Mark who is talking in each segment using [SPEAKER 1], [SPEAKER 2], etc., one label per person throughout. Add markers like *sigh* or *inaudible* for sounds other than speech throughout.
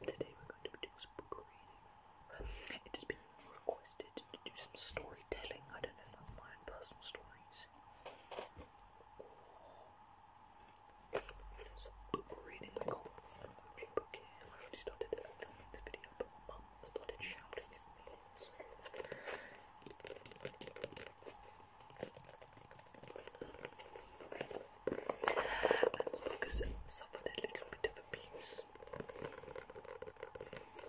[SPEAKER 1] Today we're going to be some book reading. It has been requested to do some story storytelling. I don't know if that's my own personal stories. There's a book reading I book here. I already started filming this video, but mum started shouting at me. So. And this suffered a little bit of abuse.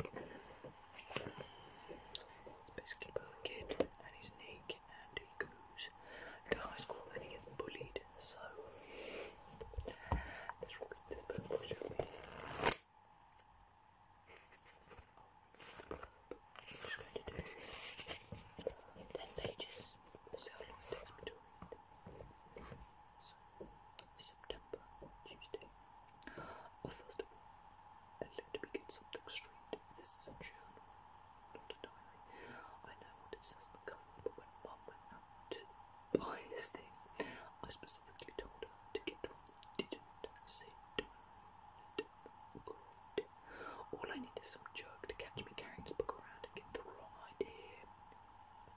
[SPEAKER 1] It's basically about a kid and he's naked and he goes to high school and he gets bullied. So let's read this book, shall we? just going to do ten pages. Let's see how long it takes me to read. So, September, Tuesday. Or oh, first of all, let me get something straight. This is a not a I know what it says on but when Mum went out to buy this thing, I specifically told her to get one that didn't say diary. Good. All I need is some jerk to catch me carrying this book around and get the wrong idea.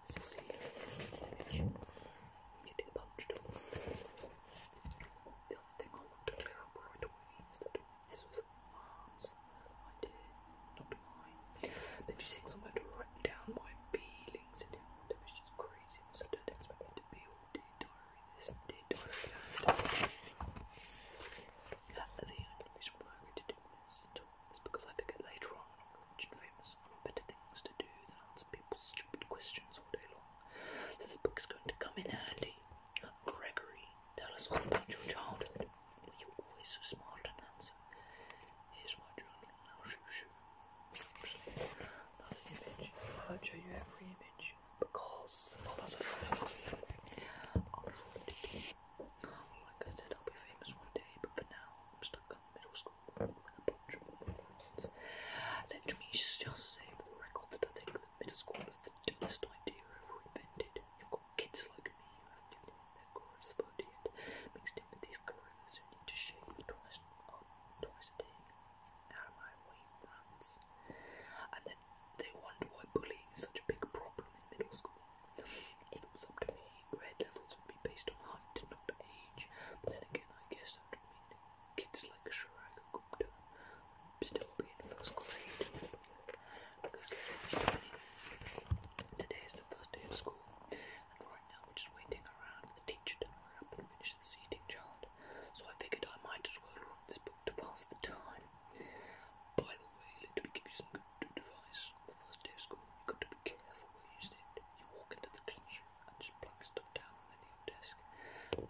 [SPEAKER 1] Cecilia is in the picture. punched. The other thing I want to clear right away is that this was mom's idea, not mine. But she thinks I'm going to write down my feelings and whatever she's crazy, so don't to be all dear diary this and dear diary that. The only reason why I'm going do this is because I figured later on famous better things to do than answer people's stupid questions all day long. this book is going to come in handy. Gregory, tell us all about your childhood. Were you always so smart and handsome? Here's my journal now, shoo shoo. Another image. I will show you every image because well, that's a said, I'll be famous one day, but for now, I'm stuck in middle school. Let me just say for the record that I think that middle school is the dumbest idea ever invented. You've got kids like me who haven't even hit yet, mixed in with these gorillas who need to shave twice, twice a day. Out of my And then they wonder why bullying is such a big problem in middle school. If it was up to me, grade levels would be based on height, not age. But then again, I guess that would mean kids like Shirag Gupta would still be in first grade. Because today is the first day of school, and right now we're just waiting around for the teacher to hurry up and finish the seating chart. So I figured I might as well read this book to pass the time. By the way, let me give you some good advice the first day of school, you've got to be careful where you sit. You walk into the classroom and just plunk stuff down on the new desk.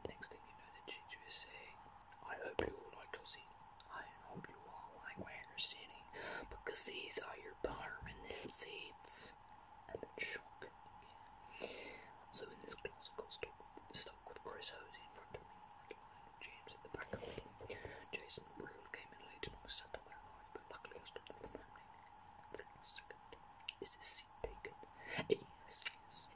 [SPEAKER 1] Next thing you know, the teacher is saying, I hope you all like your seat. I hope you all like my understanding, because these are your permanent seats. And then shock. So in this class, I got stuck with, Chris Hosey in front of me and James in the back of me. Jason Brule came in late and I was sat on my is this seat taken? Yes, yes.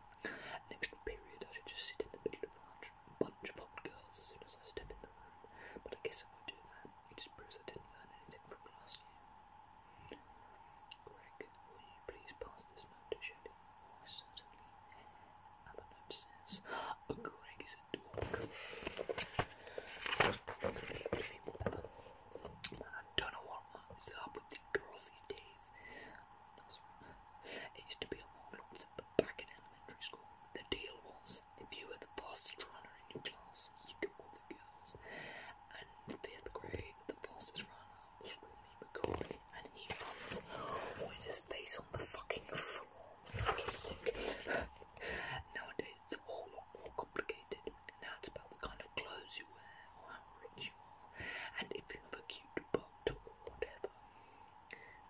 [SPEAKER 1] Next period, I should just sit in the middle of a bunch, of hot girls as soon as I step in the room. But I guess if I do that, it just proves I didn't learn anything from last year. Greg, will you please pass this note to Shelley? Why, certainly. Other note says. Greg is a dork. I don't know what is up with the girls these days. It used to be a long but back in elementary school, the deal was if you were the fastest runner in your class, you got all the girls. And in fifth grade, the fastest runner was Rooney McCoy, and he runs with his face on the fucking floor. Fucking sick. Nowadays, it's all a lot more complicated. Now it's about the kind of clothes you wear or how rich you are, and if you have a cute butt or whatever.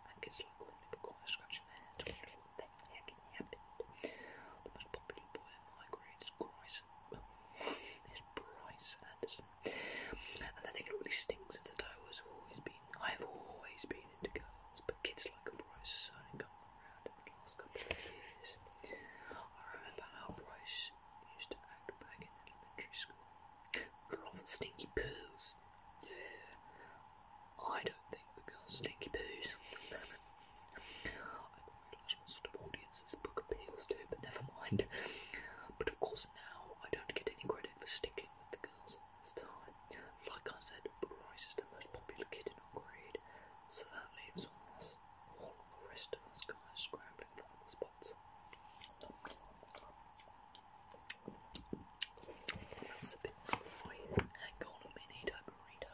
[SPEAKER 1] And kids like all people quite scratching their heads, wondering what the heck happened. The most popular boy in my grade is Bryce, is Bryce Anderson. And the thing that really stinks of the toe has always been, I have always been into girls, but kids just like a Bryce Sun coming around in the last couple of years. I remember how Bryce used to act back in elementary school. Girl the stinky poos. Yeah. I don't think the girls stinky poos. *laughs* I don't realise what sort of audience this book appeals to, but never mind. But of course now I don't get any credit for sticking with the girls like I said, rice is the most popular kid in our grade, so that leaves all us, all the rest of us guys scrambling for other spots. That's a bit dry. Hang on a minute, I burrito.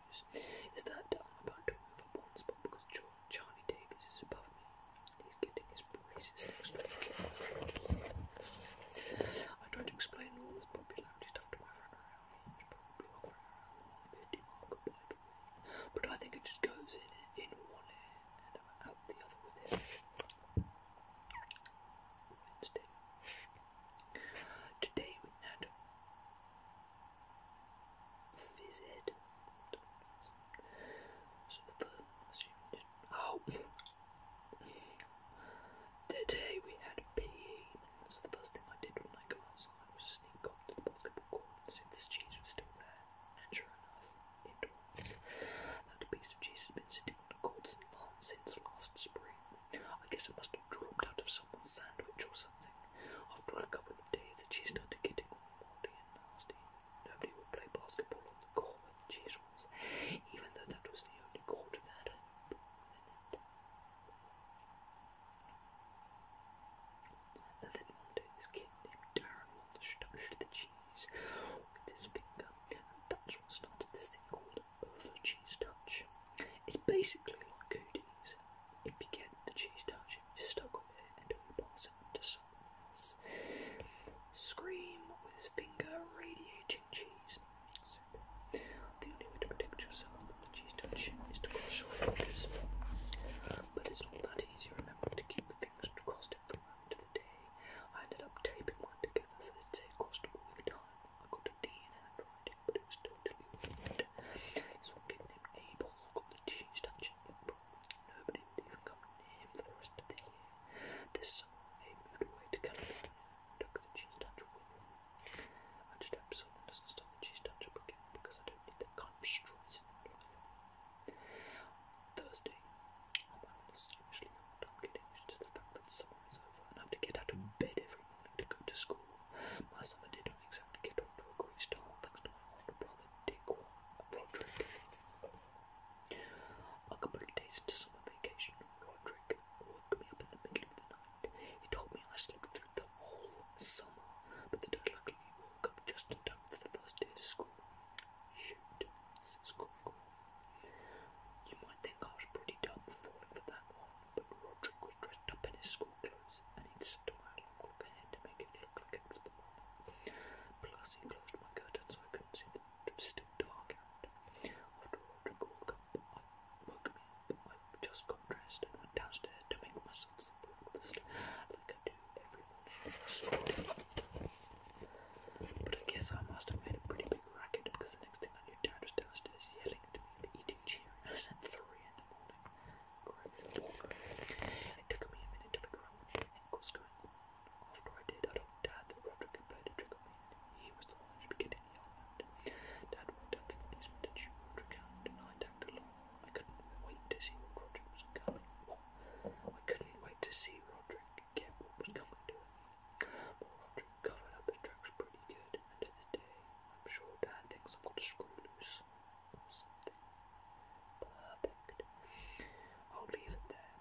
[SPEAKER 1] Is that I'm about to move up one spot because Charlie Davies is above me. He's getting his braces next week. I tried to explain all this popularity stuff to my friend around. He's probably offering around the 50 mark of But I think it just goes in, in one ear and out the other with it. Today we had Fizzed. Oh. Today we had PE, so the first thing I did when I got outside was sneak up to the basketball court and see if this cheese was still there. And sure enough, it was. That piece of cheese has been sitting on the court since last spring. I guess it must have dropped out of someone's sandwich or something something. After a couple of days, she started getting all naughty and nasty. Nobody would play basketball on the court where the cheese was, even though that was the only court that had been in it. And then one day, this kid named Darren Walsh touched the cheese with his finger, and that's what started this thing called over cheese touch. It's basically like Cooties. If you get the cheese touch, you're stuck with it until you pass it to someone else. Scream with his finger radiating cheese. The only way to protect yourself from the cheese touch is to cross your fingers. But it's not that easy, remember, to keep the fingers crossed every moment of the day. I ended up taping mine together so they stay crossed all the time. I got a D in handwriting, but it was totally weird. So I gave him Abel, got the teaching statue in Nobody even come for the rest of the year. This summer, Abe moved away to California took the cheese statue with him. I just hope someone doesn't stop the cheese statue again because I don't need that kind of stress in my life. Thursday, I'm having a seriously hard time getting used to the fact that some myself enough to get out of bed every morning to go to school. My summer did not exactly get off to a great start thanks to my older brother Dick Roderick. A couple of days into summer vacation, Roderick woke me up in the middle of the night. He told me I slept through the whole summer, but that I luckily woke up just in time for the first day of school. Shoot, says You might think I was pretty dumb for falling for that one, but Roderick was dressed up in his school clothes, and he'd set a my look to make it look like it was the morning. Plus, he closed my curtains so I couldn't see that it was still dark out. After Roderick woke, up, I, woke me up, I just got dressed and went downstairs to make myself some breakfast, like I do every morning. But I guess I must have made a pretty big racket because the next thing I knew, Dad was downstairs yelling at me. I Cheerios at 3 in the morning. took a minute to figure out what was going After I did, I told Dad that Roderick had played a me, he was the one who was getting Dad walked out to the policeman to shoot Roderick out, and I tagged along. I couldn't wait to see what Roderick was coming. I couldn't wait to see Roderick get what was coming to him. But Roderick covered up his tracks pretty good, and of the day, I'm sure Dad thinks i am gonna screw loose or something. Perfect. I'll leave it there.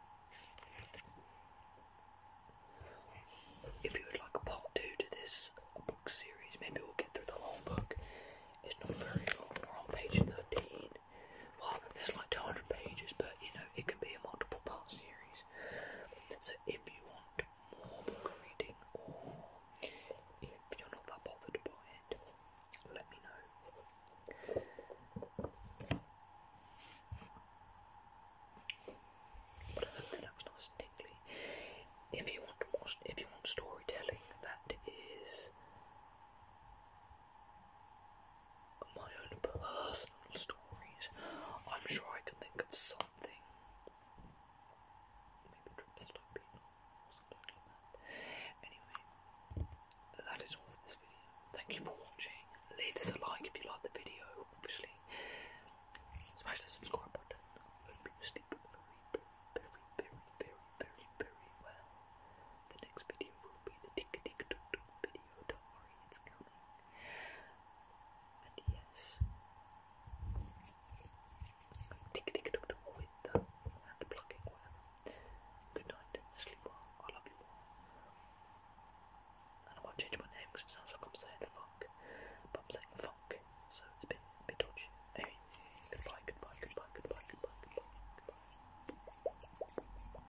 [SPEAKER 1] If you would like a part two to this book series, maybe we'll get through the whole book. It's not very long. We're on page 13. Well, there's like 200 pages, but you know, it can be a multiple part series. So if you want more book reading or if you're not that bothered by it, let me know. But I hope that tingly. If you want more, if you want storytelling, that is my own personal stories. I'm sure I can think of something. Maybe Tripstopino or something Anyway, that is all for this video. Thank you for watching. Leave this a like if you like the video, obviously. Smash the subscribe button. sleep very, very, very, very, very, very well. The next video will be the tick tick tock tock video. Don't worry, it's coming. And yes, tick tick tock tock with the hand plucking, Good night, sleep well, I love you And I might change my name because it sounds like i fuck, but I'm saying so it's been a bit dodgy. Anyway, goodbye, goodbye, goodbye, goodbye, goodbye, goodbye. goodbye.